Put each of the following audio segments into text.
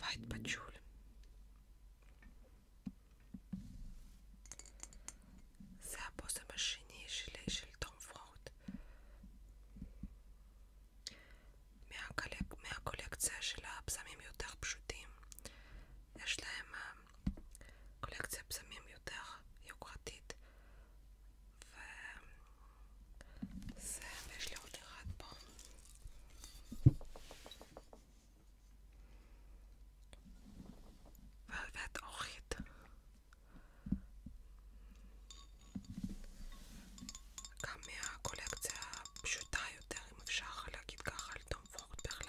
White patchouli. זה הבושם השני שלי של תום פרוט מהקולק... מהקולקציה של הבשמים יותר פשוטים יש להם אה, קולקציה בזמים יותר יוקרתית וזה, ויש לי עוד אחד פה. ועד אורחית. גם מהקולקציה הפשוטה יותר, אם אפשר להגיד ככה, על תום פורד בכלל.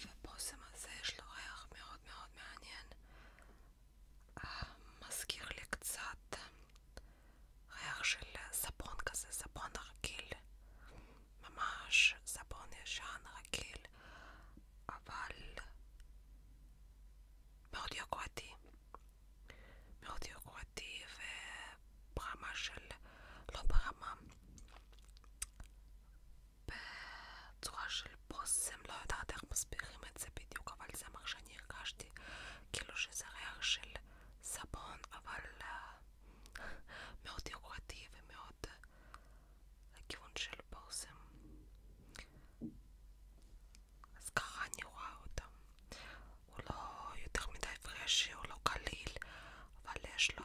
ובושם הזה יש לו ריח מאוד מאוד מעניין. אה, מזכיר לי קצת אה, ריח של אה, סבון כזה, סבון רגיל. ממש סבון ישן רגיל, אבל מאוד יוקרתי. מאוד יוקרתי וברמה של... לא ברמה בצורה של בושם, לא יודעת איך מסבירים את זה בדיוק, אבל זה מה שאני הרגשתי, כאילו שזה ריח של סבון, אבל uh, מאוד יוקרתי ומאוד uh, לכיוון של בושם. אז ככה אני רואה אותם. הוא לא יותר מדי פרשי, הוא לא קליל, אבל יש לו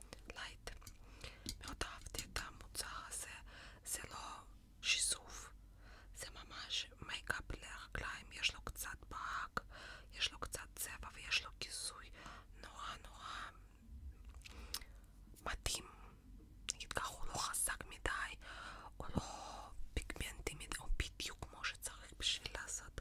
לייט. מאוד אהבתי את המוצר הזה, זה לא שיסוף, זה ממש מייקאפ לרגליים, יש לו קצת ברק, יש לו קצת צבע ויש לו כיסוי נורא נורא מתאים. נגיד ככה, הוא לא חזק מדי, הוא לא פיגמנטי מדי, הוא בדיוק כמו שצריך בשביל לעשות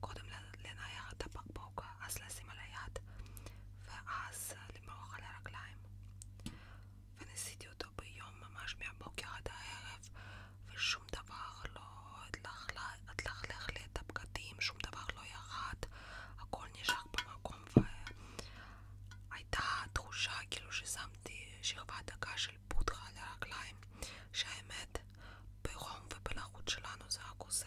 קודם לנער את הבקבוק, אז לשים על היד, ואז אה, למרוח על הרגליים. וניסיתי אותו ביום ממש מהבוקר עד הערב, ושום דבר לא התלכלך לי את הבגדים, שום דבר לא ירד, הכל נשאר במקום, והייתה תחושה כאילו ששמתי שכבה דקה של פודרה על הרגליים, שהאמת, בחום ובלחות שלנו זה רק עוזר.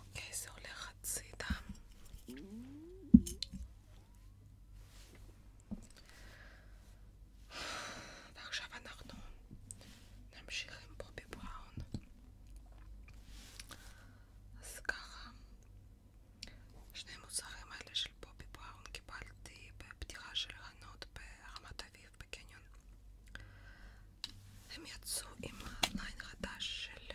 אוקיי, זה הולך הצידה. ועכשיו אנחנו נמשיך עם בובי בראון. אז ככה, שני מוצרים האלה של בובי בראון קיבלתי בפתיחה של חנות ברמת אביב בקניון. הם יצאו עם ליין חדש של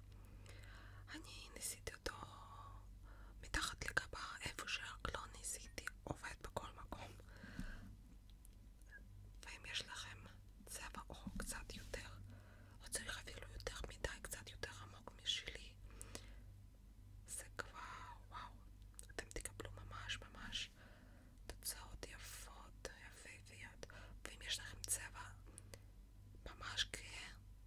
אני ניסיתי אותו מתחת לגבה, איפה שרק לא ניסיתי, עובד בכל מקום. ואם יש לכם צבע עור קצת יותר, לא צריך אפילו יותר מדי, קצת יותר עמוק משלי, זה כבר, וואו, אתם תקבלו ממש ממש תוצאות יפות, יפהפיות. ואם יש לכם צבע ממש גאה,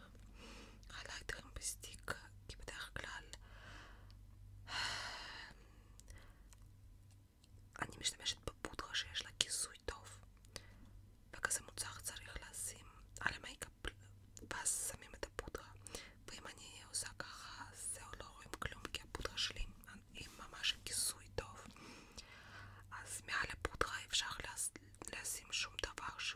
להגדר. אחד להגדרים בסטיק, כי בדרך כלל אני משתמשת בפודרה שיש לה כיסוי טוב, וכזה מוצר צריך לשים על המייקאפ, ואז שמים את הפודרה, ואם אני עושה ככה, אז זהו, לא רואים כלום, כי הפודרה שלי היא ממש כיסוי טוב. אז מעל הפודרה אפשר לשים שום דבר ש...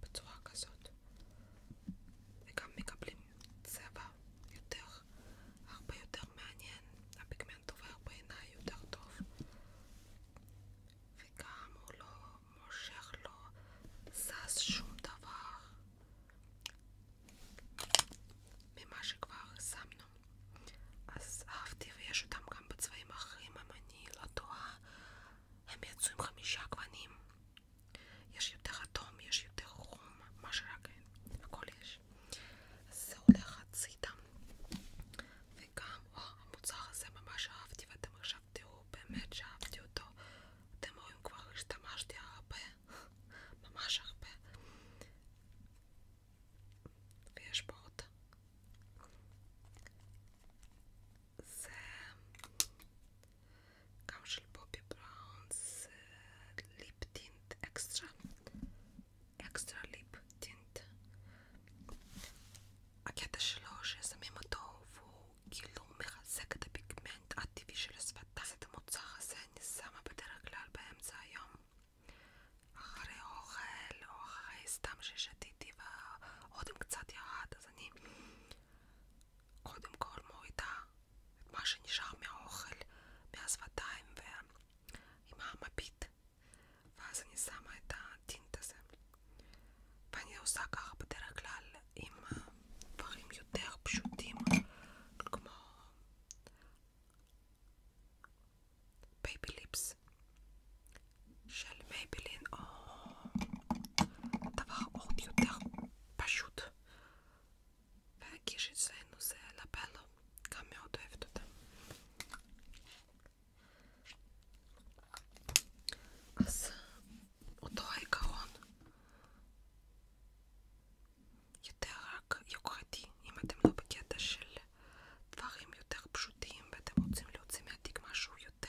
בצורה כזאת וגם מקבלים צבע יותר, הרבה יותר מעניין הפיגמנט עובר בעיניי יותר טוב וגם הוא לא מושך, לא זז שום דבר ממה שכבר שמנו אז אהבתי ויש אותם גם בצבעים אחרים אם אני לא טועה הם יצאו עם חמישה גוונים. יש יותר אדום, יש יותר חום, מה שרק אין, הכל יש. אז זה הולך הצידה. וגם, וואו, המוצר הזה ממש אהבתי, ואתם עכשיו תראו באמת שאהבתי אותו. אתם רואים כבר, השתמשתי הרבה, ממש הרבה. ויש פה עוד זה גם של בובי בראון, זה ליפ טינט אקסטרה, אקסטרה ליפ טינט. הקטע שלו ששמים אותו כאילו קצת ירד, אז אני קודם כל מורידה את מה שנשאר מהאוכל, מהשפתיים ועם המפית ואז אני שמה את הטינט הזה ואני עושה ככה בדרך כלל עם דברים יותר פשוטים כמו בייבי ליפס של מייבלין או דבר עוד יותר פשוט והגיש אצלנו זה לבלו, לא? גם מאוד אוהבת אותה אז אותו העיקרון יותר רק יוקרתי אם אתם לא בקטע של דברים יותר פשוטים ואתם רוצים להוציא מהתיק משהו יותר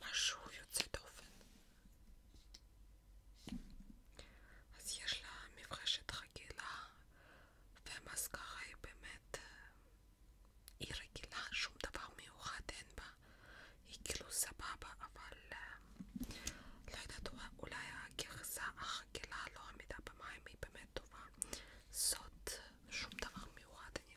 Maszu Jutzidowin. אז יש לה מברשת רגילה והמסקרה היא באמת היא רגילה, שום דבר מיוחד אין בה היא כאילו סבבה, אבל לא יודעת, אולי הגרסה החגילה לא עמידה במים היא באמת טובה זאת שום דבר מיוחד, אני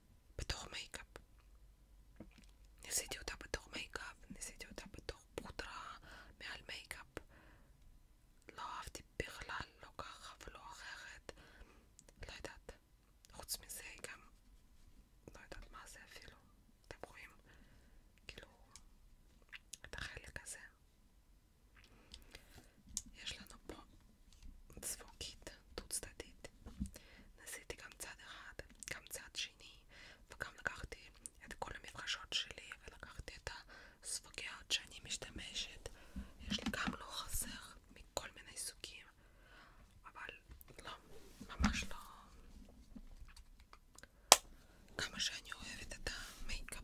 בתור מייקאפ. ניסיתי אותה בתור מייקאפ, ניסיתי אותה בתור פודרה מעל מייקאפ. לא אהבתי בכלל, לא ככה ולא אחרת. לא יודעת. חוץ מזה גם לא יודעת מה זה אפילו. אתם רואים? כאילו, את החלק הזה. יש לנו פה צבוקית דו צדדית. ניסיתי גם צד אחד, גם צד שני, וגם לקחתי את כל המפגשות שלי ולקחתי את הסבוגיות שאני משתמשת. יש לי גם לא חסר מכל מיני סוגים, אבל לא, ממש לא. כמה שאני אוהבת את המייקאפ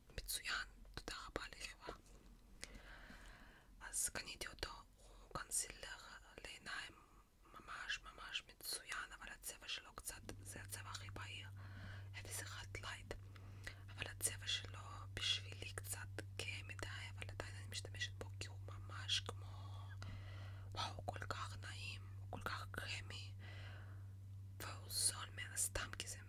מצוין, תודה רבה לחברה. אז קניתי אותו, הוא כי זה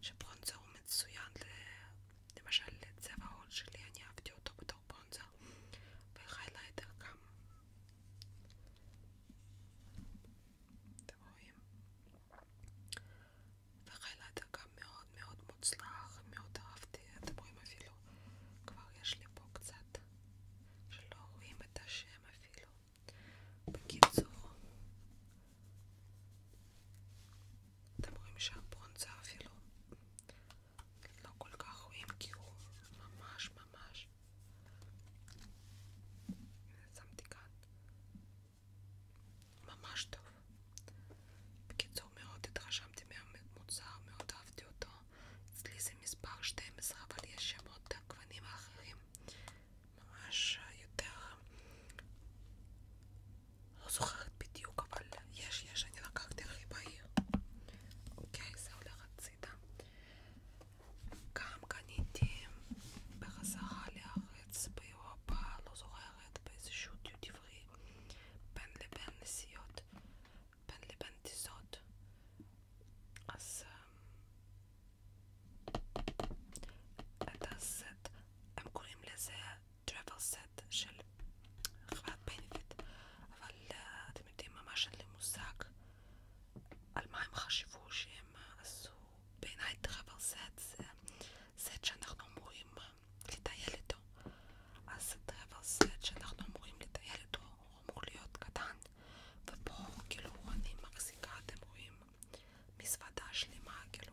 שברונזה הוא מצוין למשל לצבע העוד שלי, אני אהבתי אותו בתור ברונזה והיילייטר גם אתם רואים? והיילייטר גם מאוד מאוד מוצלח, מאוד אהבתי, אתם רואים אפילו כבר יש לי פה קצת שלא רואים את השם אפילו בקיצור אתם רואים שהברונזה אפילו לא כל כך רואים כי הוא ממש ממש שמתי כאן ממש טוב בקיצור מאוד התרשמתי מהמוצר, מאוד אהבתי אותו אצלי זה מספר 12 אבל יש שם עוד גוונים אחרים ממש יותר לא זוכרת בדיוק, אבל יש, יש, אני לקחתי הכי בהיר. אוקיי, זה הולך הצידה. גם קניתי בחזרה לארץ באירופה, לא זוכרת, באיזשהו דיוט עברי, בין לבין נסיעות, בין לבין טיסות. אז هذا السيت הם קוראים לזה travel set של חברת benefit אבל אה, אתם יודעים ממש אין לי מושג הם אה, כאילו, שלמה כאילו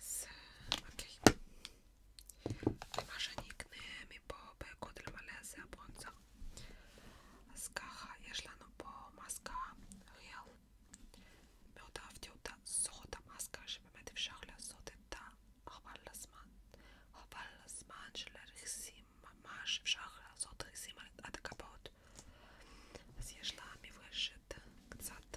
z okay. Wyważeniknymi po kontrwalesy błąca z kacha jeżlano po maska Hill Mioda wdiuta soda maska, żeby medy w szachle sody ta Hawallasman Hawallasman, żeler zim masz w szachle sody zim, a taka pot z jeżlami wyszyt, kcat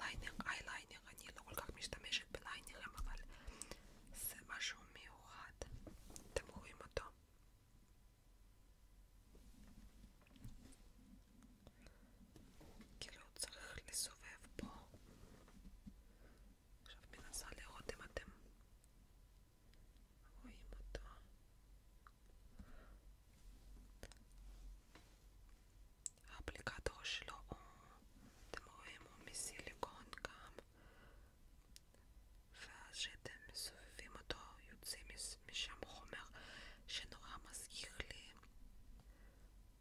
ליינינג, איי ליינינג, אני לא כל כך משתמשת בליינינגים, אבל זה משהו מיוחד, אתם רואים אותו? כאילו צריך לסובב פה, עכשיו מנסה לראות אם אתם רואים אותו. האפליקטור שלו הוא, אתם רואים, הוא מסיליקון גם ואז שאתם מסובבים אותו יוצא משם חומר שנורא מזכיר לי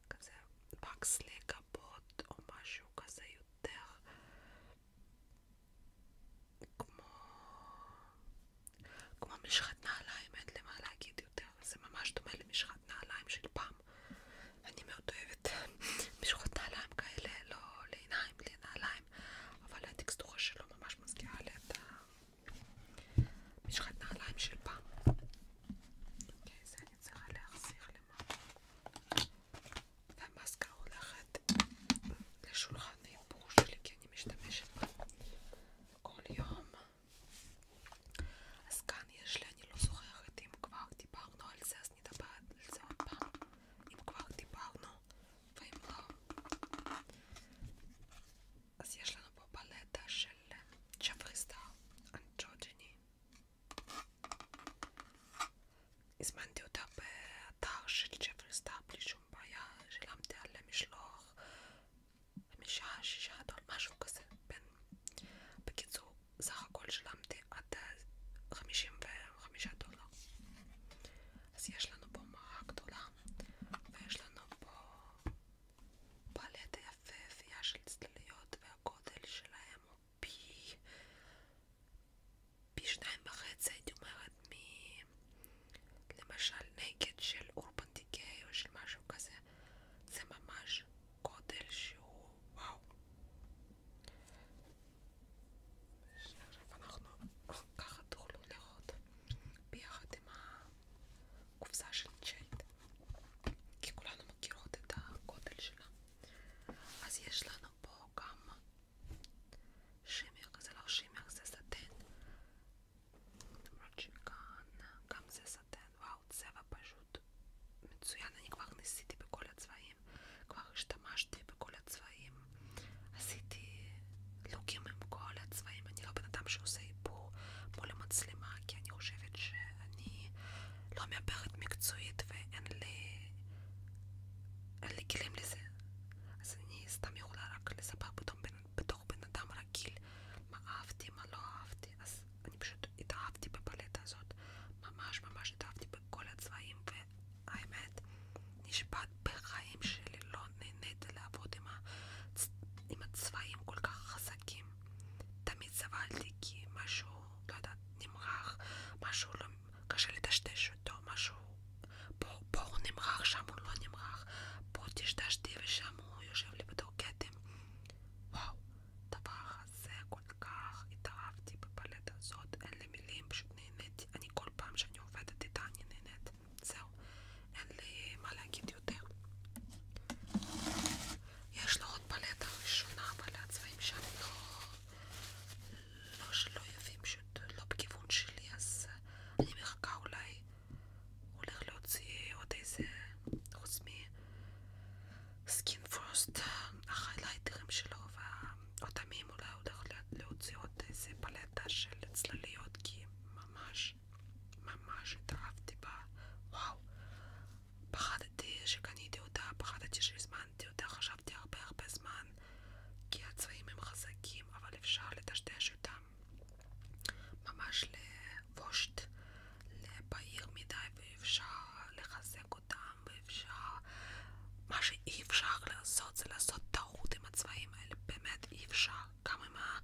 כזה פקס לגבות או משהו כזה יותר כמו כמו משחת נעליים, אין למה להגיד יותר, זה ממש דומה למשחת נעליים של פעם. אני מאוד אוהבת משחות נעליים כאלה, לא לעיניים, לנעליים, אבל הטקסטורה שלו ממש מזכירה לי את משחת נעליים של פעם. אוקיי, זה אני צריכה להחזיר למעלה. והמסקה הולכת לשולחן האיפור שלי, כי אני משתמשת בה כל יום. אז כאן יש לי, אני לא זוכרת אם כבר דיברנו על זה, אז נדבר על זה עוד פעם, אם כבר דיברנו, ואם לא. אז יש לנו פה פלטה של צ'פריסטר אנג'וג'ני. הזמנתי אותה באתר של צ'פריסטר בלי שום בעיה, שילמתי על המשלוח משעה שישה עד משהו כזה, בין... כן. בקיצור, סך הכל שלמתי עד 55 אה, דולר. אז יש לנו פה מראה גדולה, ויש לנו פה פלטה יפהפייה של צלליות, והגודל שלהם הוא פי... פי שניים וחצי, הייתי אומרת, מ... למשל נגד של אורבן דיקאי או של משהו כזה, זה ממש גודל שהוא וואו. עכשיו אנחנו ככה תוכלו לראות ביחד עם הקופסה של צ'ייט, כי כולנו מכירות את הגודל שלה. אז יש לנו פה גם שימר, זה לא שימר, זה סטן רוג'יקן, גם זה סטן, וואו, צבע פשוט מצוין, אני כבר ניסיתי בכל הצבעים, כבר השתמשתי בכל הצבעים, עשיתי לוקים עם כל הצבעים, אני לא בן אדם שעושה איפור מול המצלמה, כי אני חושבת שאני לא מעברת מקצועית ואין לי... אין לי כלים לזה, אז אני סתם יכולה רק לספר בתור בן, בתור שם הוא לא נמרח, פה טשטשתי ושם הוא יושב לי או כתם. וואו, דבר הזה כל כך התאהבתי בפלטה הזאת, אין לי מילים, פשוט נהניתי. אני כל פעם שאני עובדת איתה אני נהנית. זהו, אין לי מה להגיד יותר. יש לו עוד פלטה ראשונה, אבל הצבעים שם לא... לא שלא יפים, פשוט לא בכיוון שלי, אז אני מחכה אולי הולך להוציא עוד איזה, חוץ מסקין פרוסט, החיילייטרים שלו והאוטמים אולי הולך להוציא עוד אפשר לטשטש אותם ממש לבושט, לבהיר מדי, ואפשר לחזק אותם, ואפשר... מה שאי אפשר לעשות זה לעשות טעות עם הצבעים האלה, באמת אי אפשר. גם עם ה...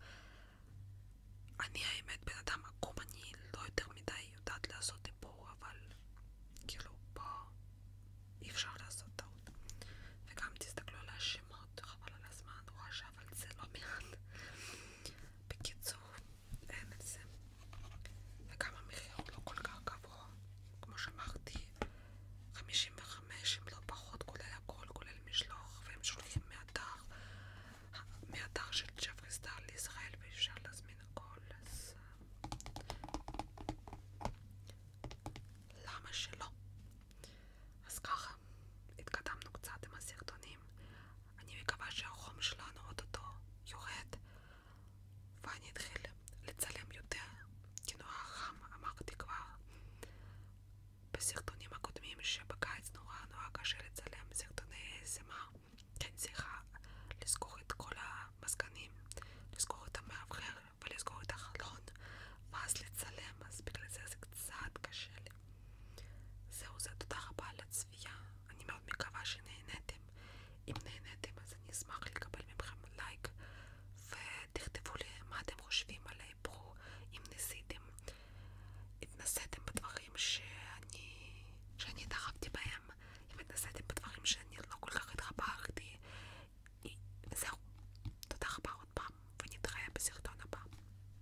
אני האמת בן אדם עקום, אני לא יותר מדי יודעת לעשות דיבור, אבל כאילו פה אי אפשר לעשות טעות. וגם תסתכלו על השמות, חבל על הזמן, רואה אבל זה לא מעט. בקיצור, אין את זה. וגם המחיר הוא לא כל כך גבוה. כמו שאמרתי, 55 אם לא פחות, כולל הכל, כולל משלוח, והם שולחים מאתר, מאתר של ג'פרי סטאר לישראל, ואפשר להזמין הכל, אז... אה, למה שלא? אז ככה, התקדמנו קצת עם הסרטונים. אני מקווה שהחום שלנו אוטוטו יורד ואני אתחיל לצלם יותר, כאילו החם אמרתי כבר בסרטונים הקודמים שבקיץ נורא נורא קשה לצלם סרטוני ASMR כן צריכה לזכור את כל המזגנים, לזכור את המאוורר ולסגור את החלון ואז לצלם, אז בגלל זה זה קצת קשה זהו זה, תודה רבה על הצפייה, אני מאוד מקווה שנהניתם, אם נהניתם אז אני אשמח לקבל מכם לייק ותכתבו לי מה אתם חושבים על האיפרו, אם ניסיתם, התנסיתם בדברים שאני, שאני התאהבתי בהם, אם התנסיתם בדברים שאני לא כל כך התחברתי, זהו, תודה רבה עוד פעם ונתראה בסרטון הבא,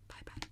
ביי ביי